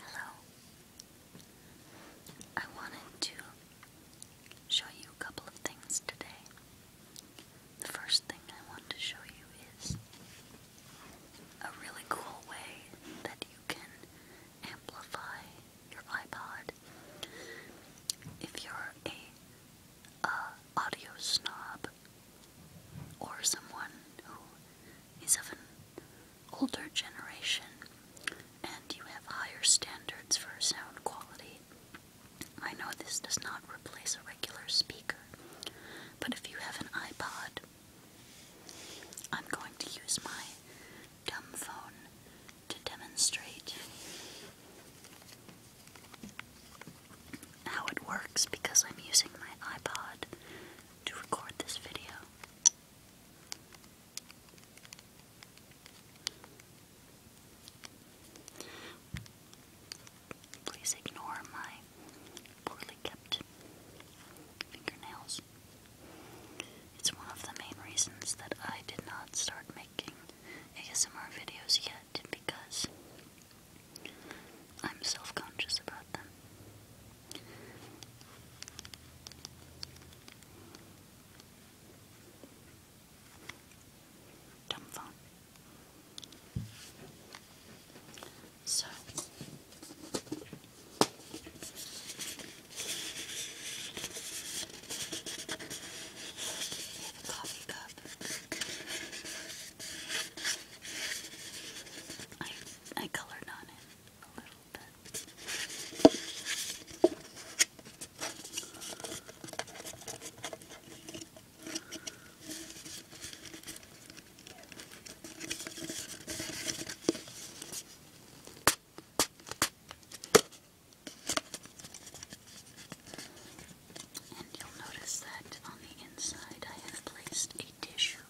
Hello. I wanted to show you a couple of things today. The first thing I want to show you is a really cool way that you can amplify your iPod. If you're a audio snob, or someone who is of an older generation and you have higher standards for sound quality. I know this does not replace a regular speaker, but if you have an iPod, I'm going to use my dumb phone to demonstrate how it works because I'm using my iPod to record this video. Please ignore my poorly kept fingernails. It's one of the main reasons that I did not start making ASMR videos yet because I'm self conscious about them. Dumb phone. So we have I I colored on it a little bit. And you'll notice that on the inside I have placed a tissue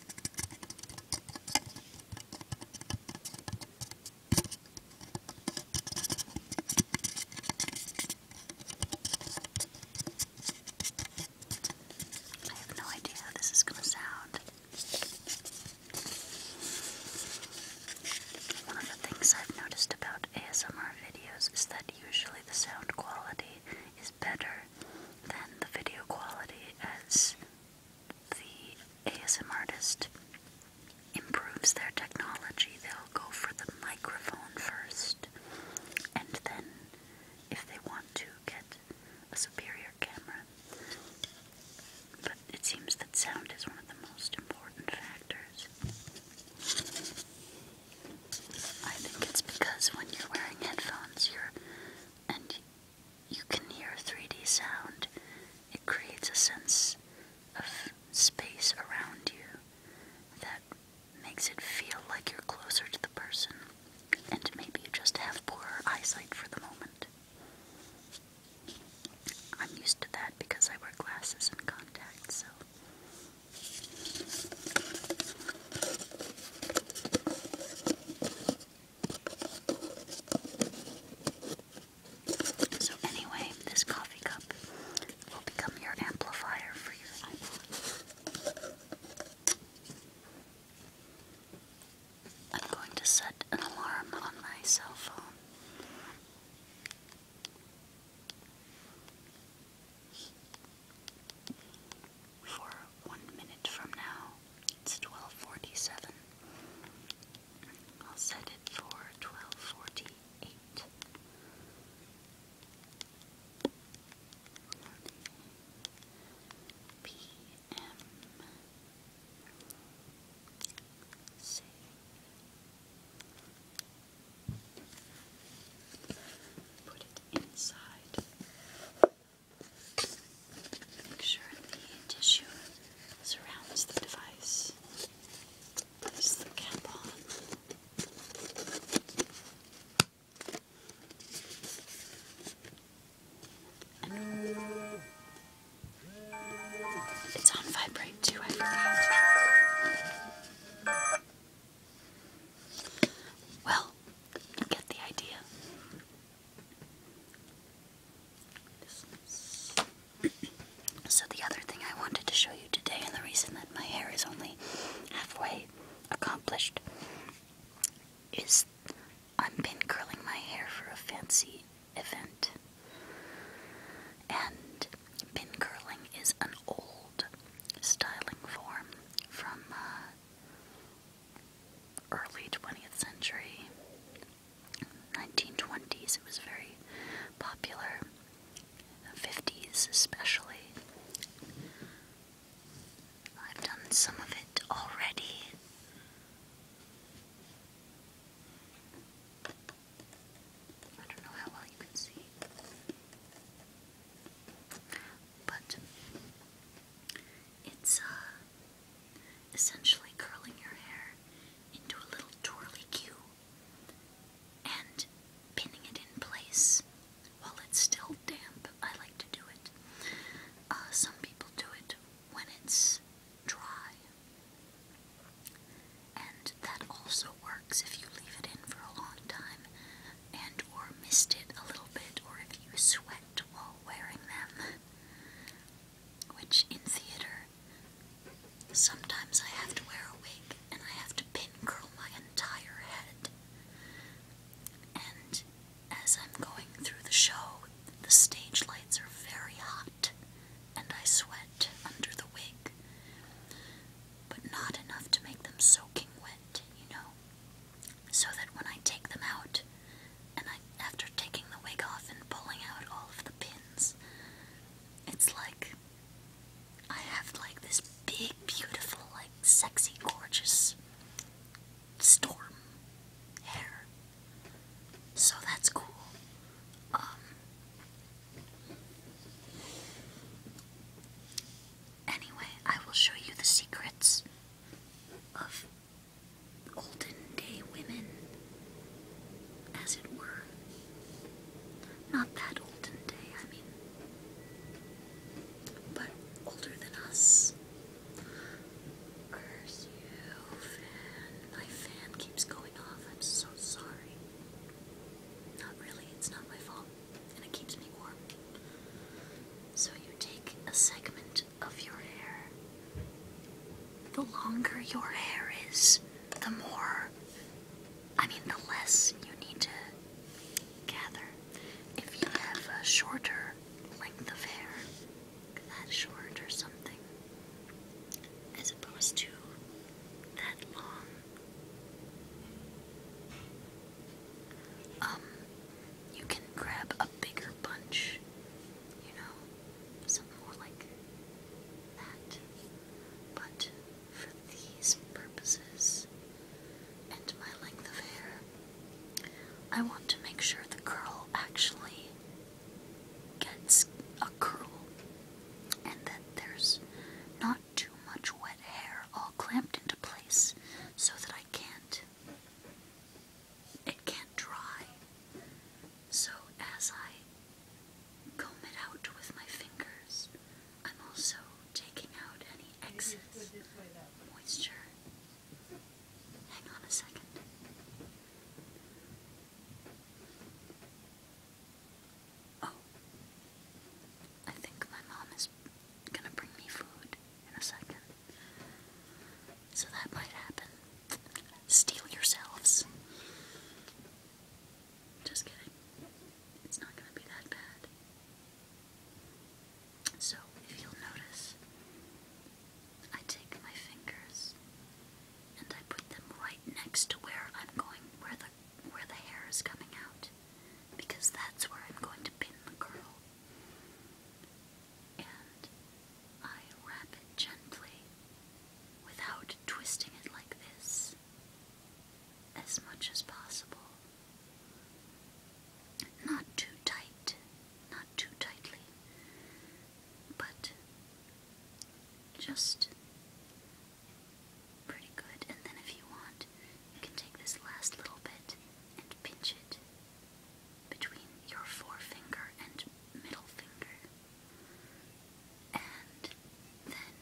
I have no idea how this is going to sound. One of the things I've noticed about ASMR videos is that usually the sound quality is better than the video quality as the ASM artist improves their technology, they'll go for the microphone first, and then, if they want to, get a superior camera. But it seems that sound is one of the most important factors. I think it's because when you're wearing headphones, you're and you can hear 3D sound. It creates a sense of space around you that makes it feel like you're closer to the person, and maybe you just have poorer eyesight for the moment. I'm used to that because I wear glasses and contacts, so. So, anyway, this coffee cup will become your amplifier for your iPod. I'm going to set an alarm on my cell phone. For one minute from now, it's 1247. I'll set it for 1248. PM. Save. Put it inside. Make sure the tissue surrounds the device. Place the cap on. it's on vibrate too, I forgot. Well, get the idea. So the other thing I wanted to show you today, and the reason that my hair is only halfway accomplished, is I'm pin curling my hair for a fancy event. And pin curling is an old styling form from uh, early 20th century, 1920s, it was very popular, 50s especially. I've done some of it already. I don't know how well you can see. But it's uh essentially curling your hair into a little twirly queue and pinning it in place while it's still damp. I like to do it. Uh, some people do it when it's dry, and that also works if you leave it in for a long time and or mist it a little bit, or if you sweat while wearing them which in theater, sometimes I have to wear a wig and I have to pin curl my entire head. And as I'm going through the show, the stage lights are very hot and I sweat under the wig, but not enough to make them soaking wet, you know, so that when I take them out, and I, after taking the wig off and pulling out all of the pins, it's like I have like this big, beautiful, like sexy, gorgeous storm hair. So that's cool. Um, anyway, I will show you the secrets of olden day women, as it were. Not that olden day, I mean, but older than us. Curse you, fan. My fan keeps going off. I'm so sorry. Not really, it's not my fault, and it keeps me warm. So you take a segment of your hair. The longer your hair is, the more, I mean, the less you need to gather. If you have a shorter length of hair, that short or something, as opposed to that long. Um, you can grab a bigger bunch you know, something more like that. But for these purposes and my length of hair, I want to make sure the curl actually gets a curl and that there's not too much wet hair all clamped into place so that I can't it can't dry. So as I comb it out with my fingers, I'm also taking out any excess moisture. Hang on a second. Oh, I think my mom is gonna bring me food in a second. So that might happen. Steal yourselves. Just kidding. It's not going to be that bad. So, if you'll notice, I take my fingers and I put them right next to where I'm going, where the where the hair is coming out, because that's where I'm going to pin the curl. And I wrap it gently without twisting it like this as much as possible. Not too tight, not too tightly, but just pretty good. And then, if you want, you can take this last little bit and pinch it between your forefinger and middle finger. And then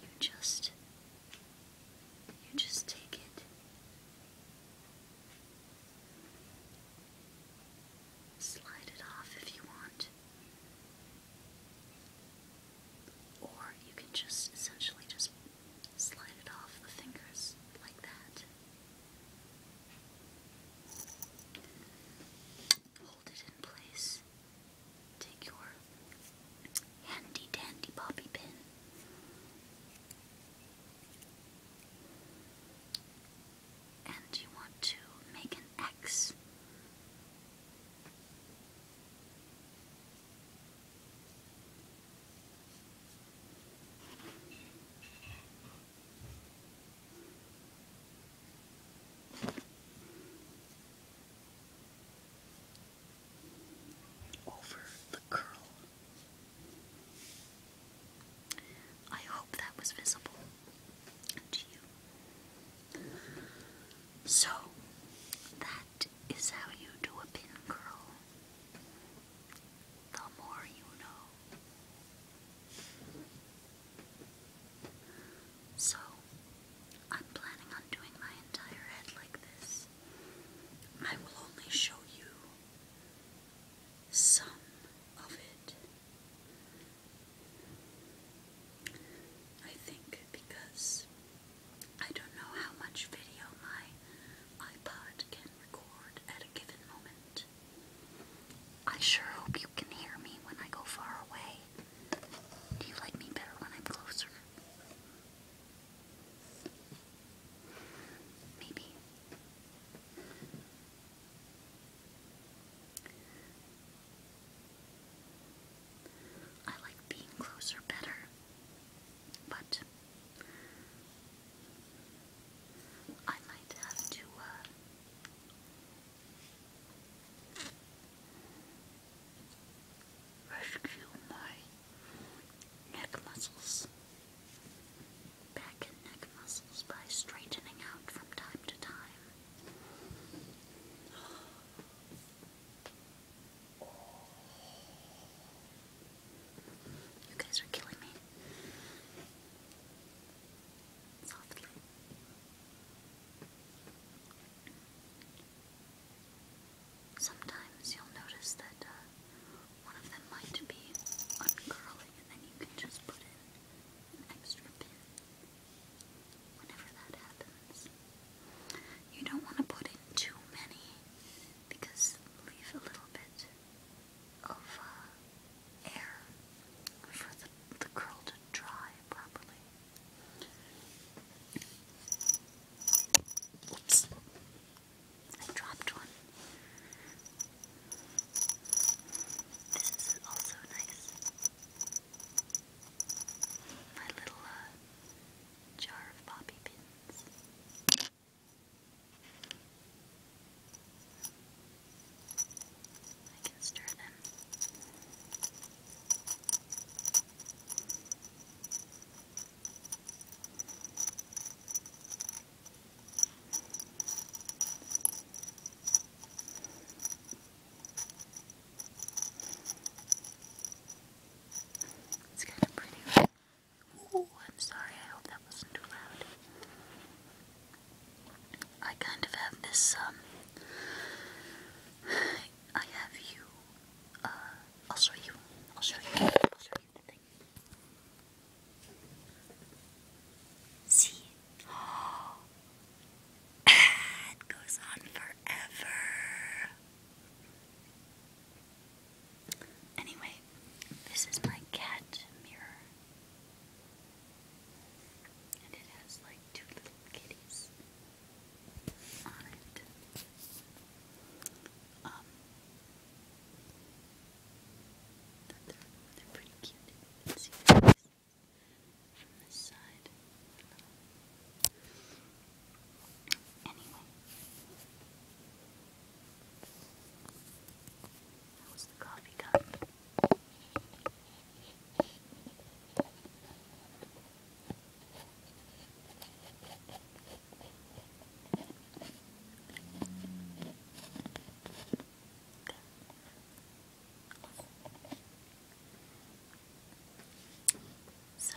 you just you just take it slide it off if you want. Or you can just essentially just slide it off the fingers like that. Hold it in place. Take your handy dandy bobby pin. And you want to make an X over the curl. I hope that was visible to you. So, that is how you do a pin curl. The more you know. So, I'm planning on doing my entire head like this. I will only show you some of it. I think because I don't know how much video my iPod can record at a given moment. I sure hope you can hear me when I go far away. Do you like me better when I'm closer? Maybe. I like being closer better, but I might have to, uh, rescue my neck muscles, back and neck muscles, by straightening out from time to time. You guys are killing me. Sometimes you'll notice that uh, one of them might be uncurling, and then you can just put in an extra pin whenever that happens. You don't want to put in too many because leave a little bit of uh, air for the, the curl to dry properly. Oops. I dropped one. This is also nice. My little uh, jar of poppy pins. I can stir them. It's kind of pretty. Right? Ooh, I'm sorry, I hope that wasn't too loud. I kind of have this, um, I have you, uh, I'll show you, I'll show you, I'll show you the thing. See? it goes on forever. Anyway, this is my cat mirror. And it has like two little kitties on it. Um, they're, they're pretty cute. You can from this side. Anyway, that was the coffee cup. So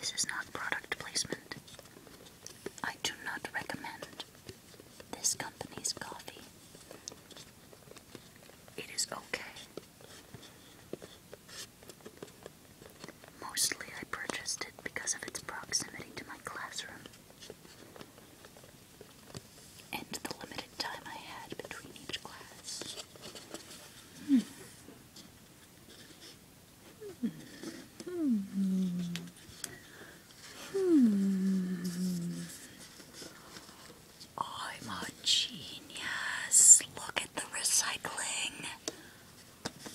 This is not product placement. I do not recommend this company's coffee. It is okay. Mostly I purchased it because of its proximity to my classroom and the limited time I had between each class. I'm a genius. Look at the recycling. Anyway.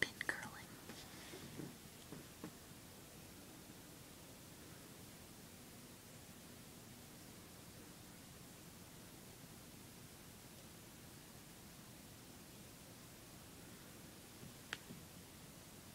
Pin curling.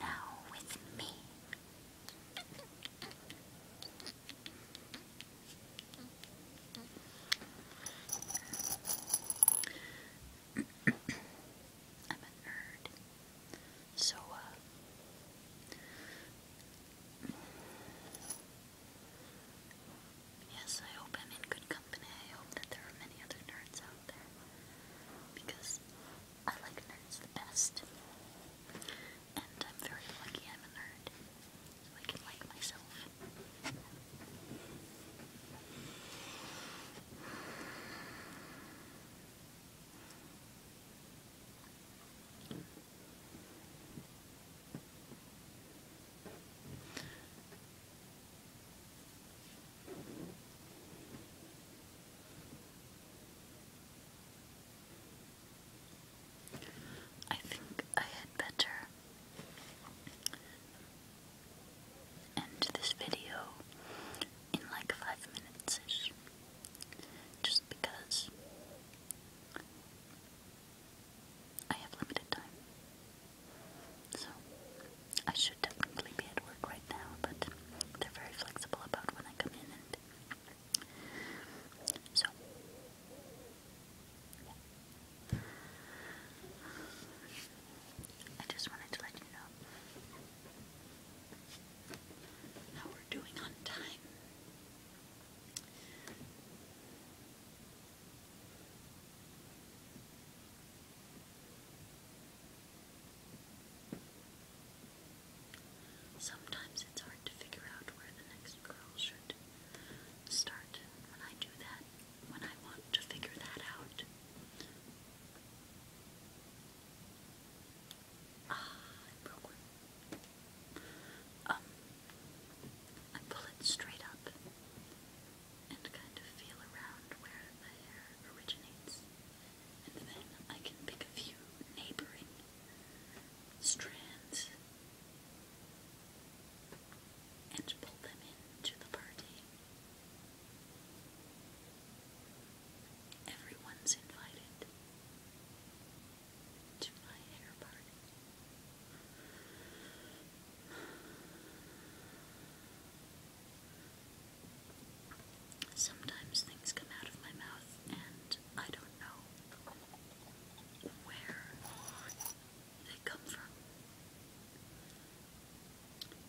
Now with me. I'm a nerd. So, uh, yes, I hope I'm in good company. I hope that there are many other nerds out there because I like nerds the best. And I'm very lucky I'm a nerd, so I can like myself. I think I had better end this video in like five minutes ish. Just because I have limited time. So I should definitely be at work right now, but they're very flexible about when I come in and so I just wanted to let you know how we're doing on time. Sometimes it's hard to figure out where the next girl should start. When I do that, when I want to figure that out. Ah, I broke one. Um, I pull it straight up and kind of feel around where the hair originates. And then I can pick a few neighboring strands and pull them into the party. Everyone's invited to my hair party. Sometimes things come out of my mouth and I don't know where they come from.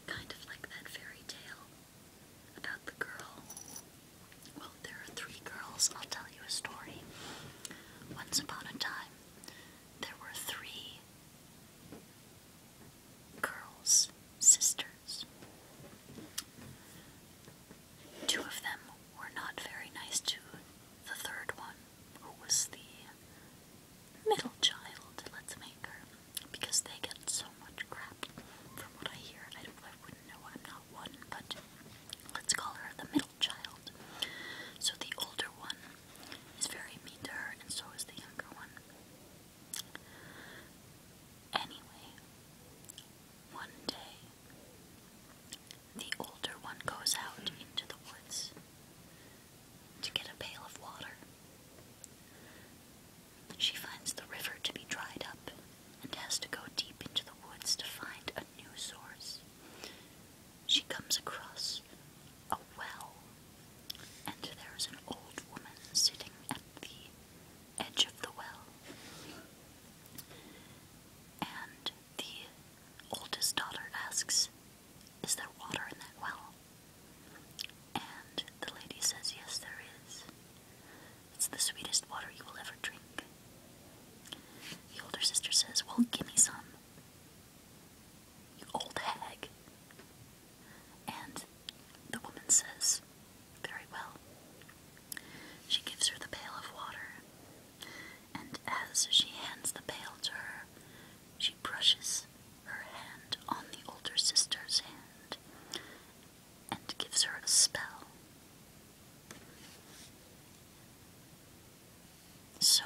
Kind of like that fairy tale about the girl. Well, there are three girls. I'll tell you a story. Once upon a time, there were three girls, sisters. Two of them were not very nice to the third one, who was the middle child, let's make her, because they get so much crap from what I hear. I, don't, I wouldn't know, I'm not one, but let's call her the middle child. So the older one is very mean to her, and so is the younger one. Anyway, one day, the older one goes out into the woods to get a pail of water. She finds the river to be dried up and has to go deep into the woods to find a new source. She comes across a well, and there is an old woman sitting at the edge of the well. And the oldest daughter asks is there water in that well? And the lady says, Yes, there is. It's the sweetest water you will ever drink. The older sister says, Well, give me some. You old hag. And the woman says, Very well. She gives her the pail of water, and as she hands the pail to her, she brushes her hand on the older sister's hand and gives her a spell. So,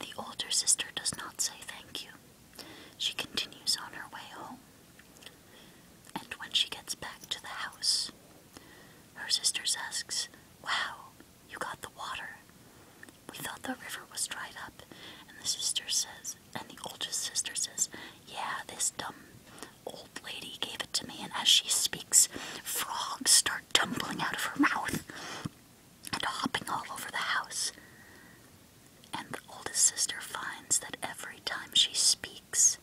the older sister does not say thank you. She continues on her way home. And when she gets back to the house, her sister asks, Wow, you got the water. We thought the river was dried up, and the sister says, and the oldest sister says, Yeah, this dumb old lady gave it to me, and as she speaks, frogs start tumbling out of her mouth and hopping all over the house. And the oldest sister finds that every time she speaks,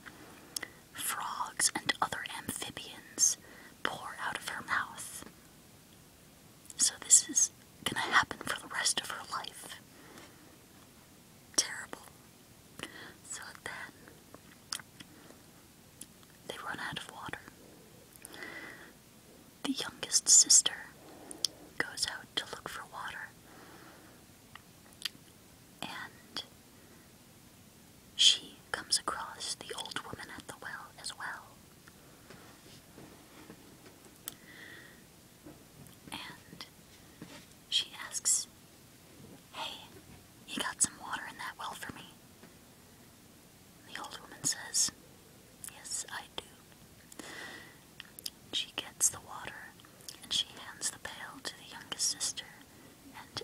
frogs and other amphibians pour out of her mouth. So this is gonna happen for the rest of her life. Terrible. So then they run out of water. The youngest sister goes out to look for water. And she comes across the old woman at the well as well. And she asks, Hey, you got some water in that well for me? The old woman says, Yes, I do. She gets the water and she hands the pail to the youngest sister, and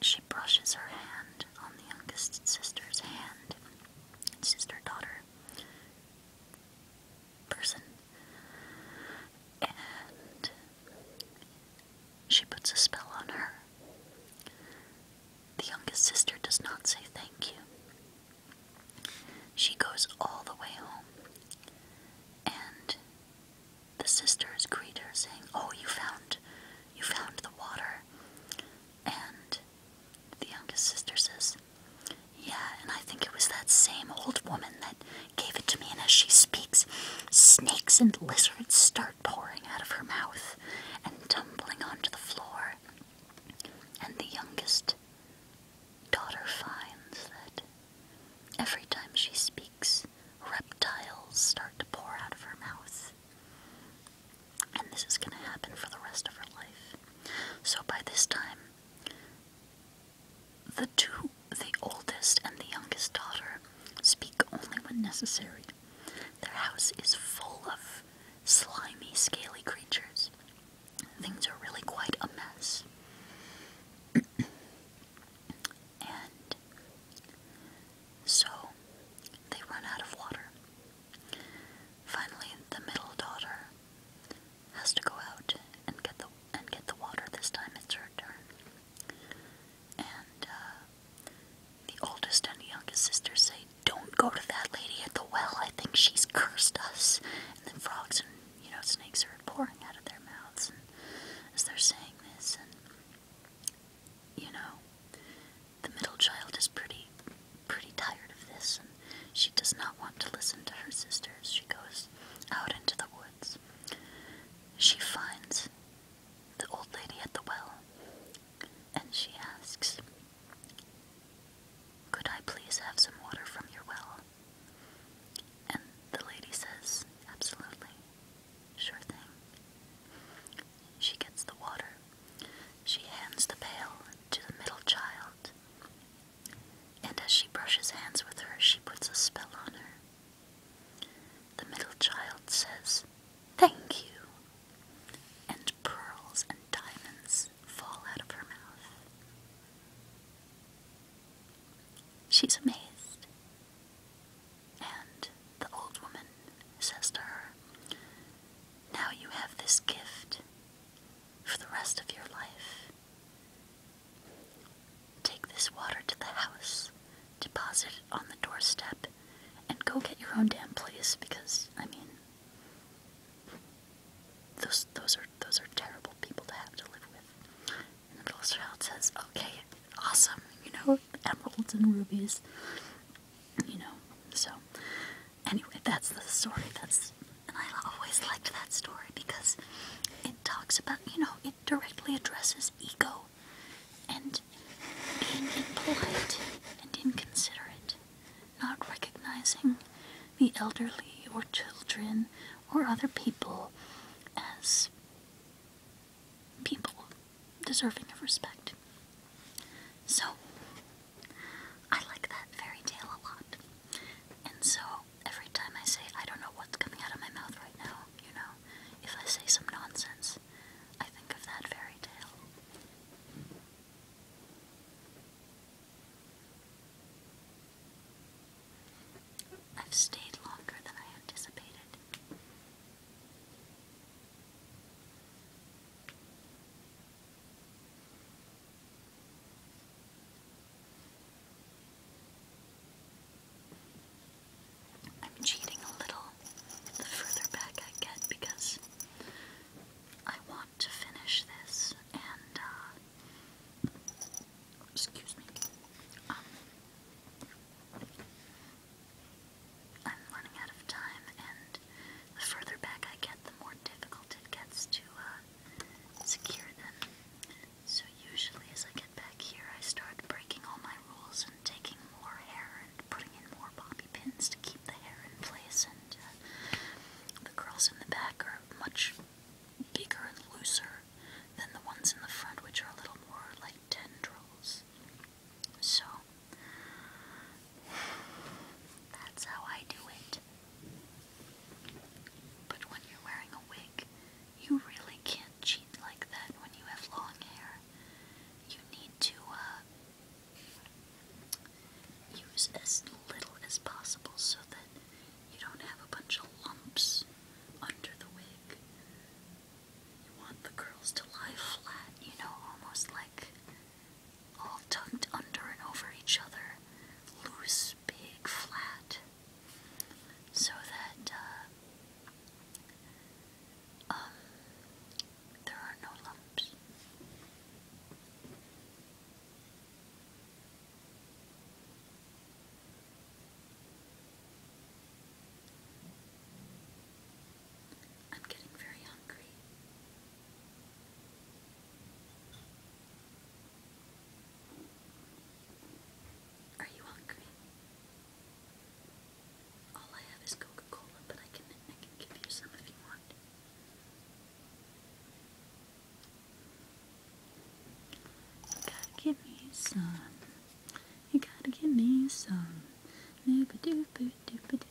she brushes her hand on the youngest sister's hand sister, daughter person, and she puts a spell on her. The youngest sister does not say thank you. She goes all the way home, and the sisters greet her, saying, "Oh, you found, you found the water. And the youngest sister says, Yeah, and I think it was that same old woman that gave it to me. And as she speaks, snakes and lizards start pouring out of her mouth and tumbling onto the floor. And the youngest daughter finds that every time she speaks, reptiles start to pour out of her mouth. And this is going to happen for the rest of her life. So by this time, the two, the oldest and the youngest daughter, speak only when necessary. Their house is full of slimy, scaly creatures. Things are really quite a mess. and so they run out of water. Finally, the middle daughter has to go out and get the and get the water. This time it's her turn. And uh, the oldest and youngest sisters say, "Don't go to that lady at the well. I think she's cursed us." And the frogs and you know snakes are pouring out of their mouths as they're saying this, and you know, the middle child is pretty, pretty tired of this, and she does not want to listen to her sisters. She goes out into the woods. She finds the old lady at the well, and she asks, Could I please have some water from your well? And the lady says, Absolutely. Sure thing. She gets the water. She hands the pail to the middle child. And as she brushes hands with her, she puts a spell on her. The middle child says, Thank you! And pearls and diamonds fall out of her mouth. She's amazed. And the old woman says to her, now you have this gift for the rest of your life. Take this water to the house, deposit it on the doorstep, and go get your own damn place because, I mean, those, those, are, those are terrible people to have to live with. And the little child says, okay, awesome, you know, emeralds and rubies, you know, so Anyway, that's the story. That's and I always liked that story because it talks about, you know, it directly addresses ego and being impolite and inconsiderate, not recognizing the elderly or children or other people as people deserving of respect. So, I like that fairy tale a lot. And so, every time I say, I don't know what's coming out of my mouth right now, you know, if I say some nonsense, I think of that fairy tale. I've stayed longer than I anticipated. I'm cheating a little the further back I get because I want to finish this and, uh, excuse me, um, I'm running out of time, and the further back I get, the more difficult it gets to uh, secure them. So usually as I get back here, I start breaking all my rules and taking more hair and putting in more bobby pins to keep the hair in place. And uh, the curls in the back are much bigger and looser than the ones in the front, which are a little more like tendrils. So that's how I do it. But when you're wearing a wig, you really can't cheat like that when you have long hair. You need to uh, use as little as possible so that you don't have a bunch of lumps under the wig. You want the curls to lie flat, you know, almost like all tucked under and over each other, loose, big, flat, so that uh, um, there are no lumps. I'm getting very hungry. Are you hungry? All I have is Coca-Cola, but I can I can give you some if you want. gotta give me some. You gotta give me some. Nooba dooba dooba doo.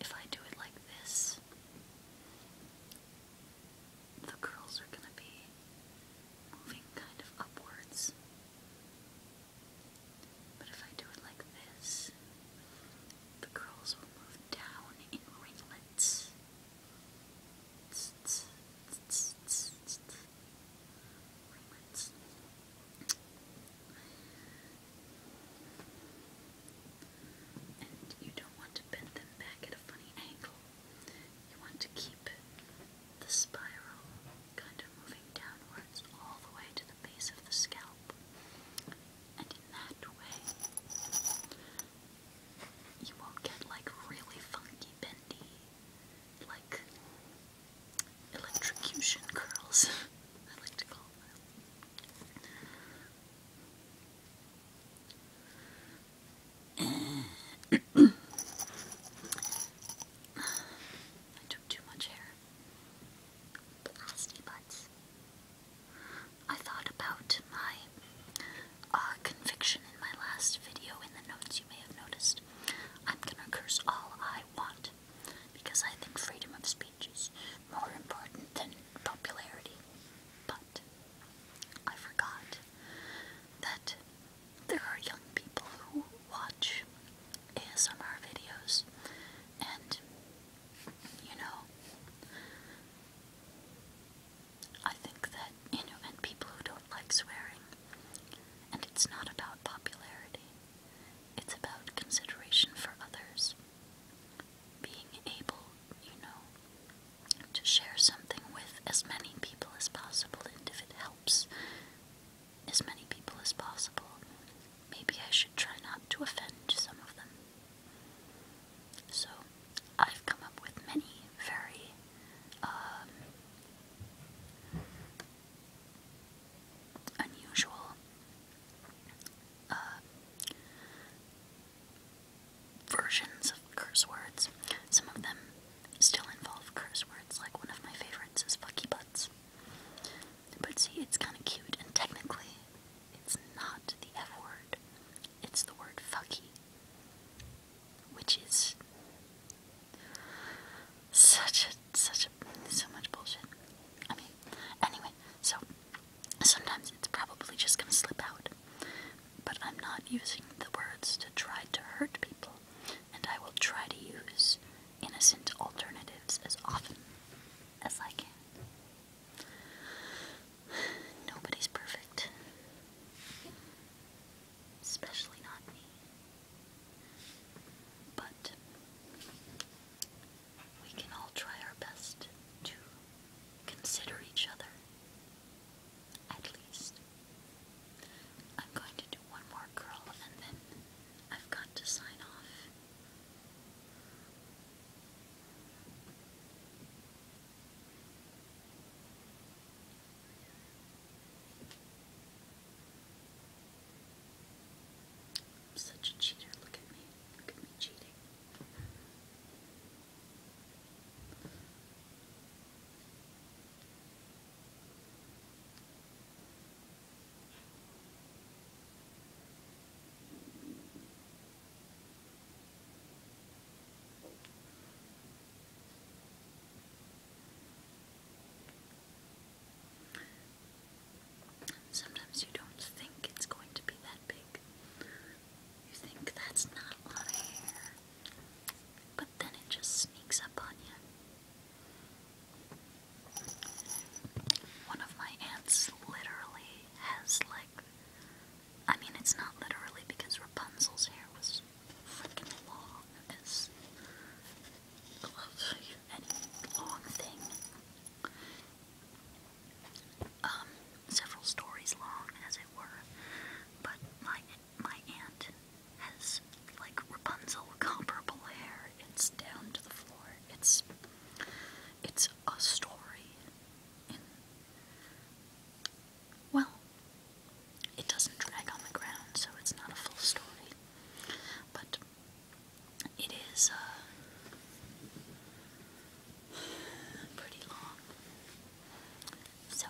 if I do it like this, the curls are going to be moving kind of upwards. But if I do it like this, the curls will move down in ringlets. And you don't want to bend them back at a funny angle. You want to keep the spiral kind of moving downwards all the way to the base of the scalp. And in that way, you won't get like really funky bendy, like electrocution curls, I I took too much hair. Blasty butts. I thought about my uh, conviction in my last video in the notes you may have noticed. I'm gonna curse all I want because I think freedom of speech speeches more important than popularity. But I forgot that there are young people who watch ASMR videos and, you know, I think that, you know, and people who don't like swearing, and it's not about popularity. It's about consideration for others being able, you know, to share something with as many people as possible, and if it helps as many people as possible, maybe I should try not to offend some of them. So, I've come up with many very, um, unusual uh, versions of curse words. Some of them still involve curse words, like one of my favorites is fucky butts. But see, it's kind of cute, and technically, it's not the F word, it's the word fucky, which is such a just such a, so much bullshit. I mean, anyway, so sometimes it's probably just gonna slip out. But I'm not using the words to try to hurt people, and I will try to use innocent alternatives as often as I can. Nobody's perfect, especially not me. But we can all try our best to consider each other. At least. I'm going to do one more curl and then I've got to sign off. I'm such a cheater. Look at me. Look at me cheating. Sometimes you don't think it's going to be that big. You think that's not a lot of hair. But then it just sneaks up on you. One of my aunts literally has like I mean it's not literally because Rapunzel's hair was freaking long as any long thing um, several stories long, as it were. But my my aunt has like Rapunzel comparable hair. It's down to the floor. It's it's a story. well, it doesn't drag on the ground, so it's not a full story. But it is uh, pretty long. So.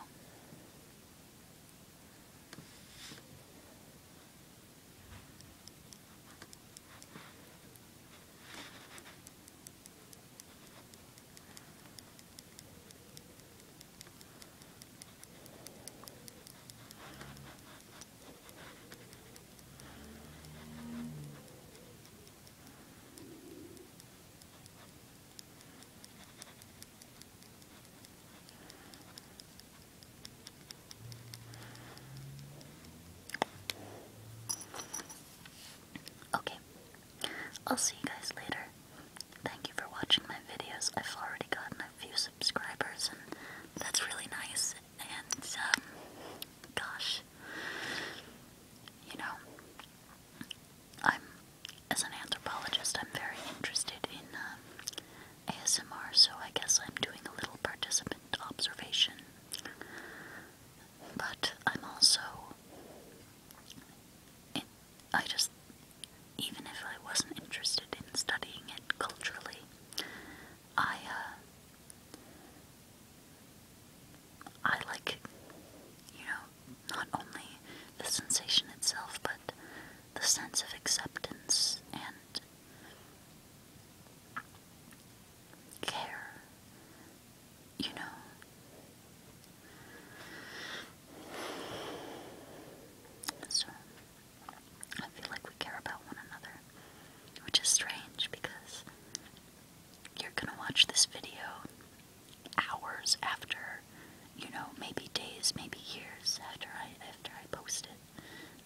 Okay, I'll see you guys later. Thank you for watching my videos. I've already gotten a few subscribers, and that's really nice and um, gosh, you know, I'm as an anthropologist, I'm very interested in uh, um, ASMR, so I guess I'm doing a little participant observation. But I'm also, it, I just, even if I wasn't interested in studying it culturally, I uh, I like you know not only the sensation itself, but the sense of acceptance and care. You know. So, I feel like we care about one another. Which is strange because you're gonna watch this video hours after, you know, maybe days, maybe years after I after I post it,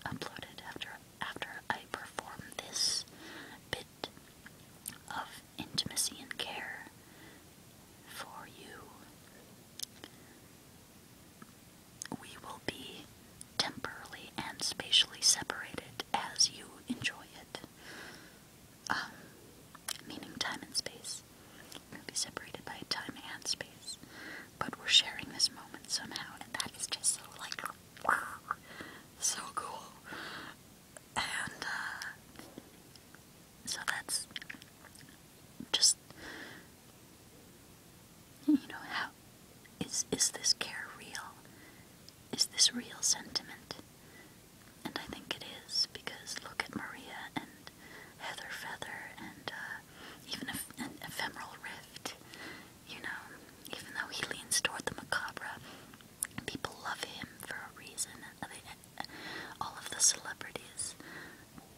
upload it after after I perform this bit of intimacy and care for you we will be temporally and spatially separated as you enjoy it. Um, meaning time and space. will be separated by time and space. But we're sharing this moment somehow, and that is just so, like, so cool. And, uh, so that's just you know how is is this care real? Is this real sentiment? And I think it is because look at Maria and Heather Feather and uh, even a, an ephemeral rift. You know, even though he leans toward the macabre, people love him for a reason. all of the celebrities,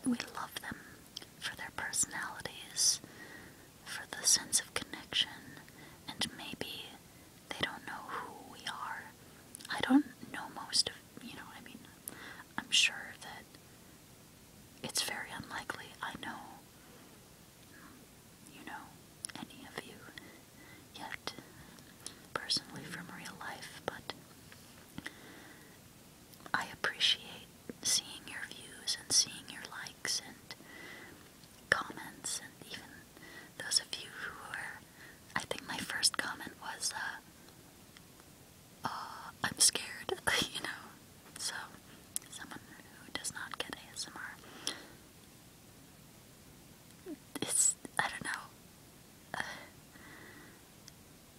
we love them for their personalities, for the sense of connection, and maybe they don't know who we are. I don't know most of, you know, I mean, I'm sure that it's very unlikely I know, you know, any of you yet, personally from real life, but I appreciate seeing your views and seeing your likes and comments and even those of you who are I think my first comment was uh I'm scared you know so someone who does not get ASMR it's I don't know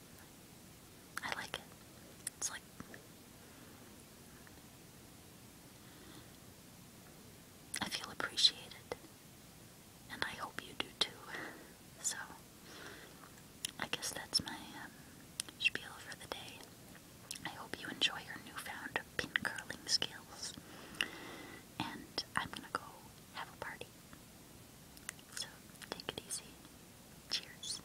I like it it's like I feel appreciated, and I hope you do too. So, I guess that's my um, spiel for the day. I hope you enjoy your newfound pin curling skills, and I'm gonna go have a party. So, take it easy. Cheers.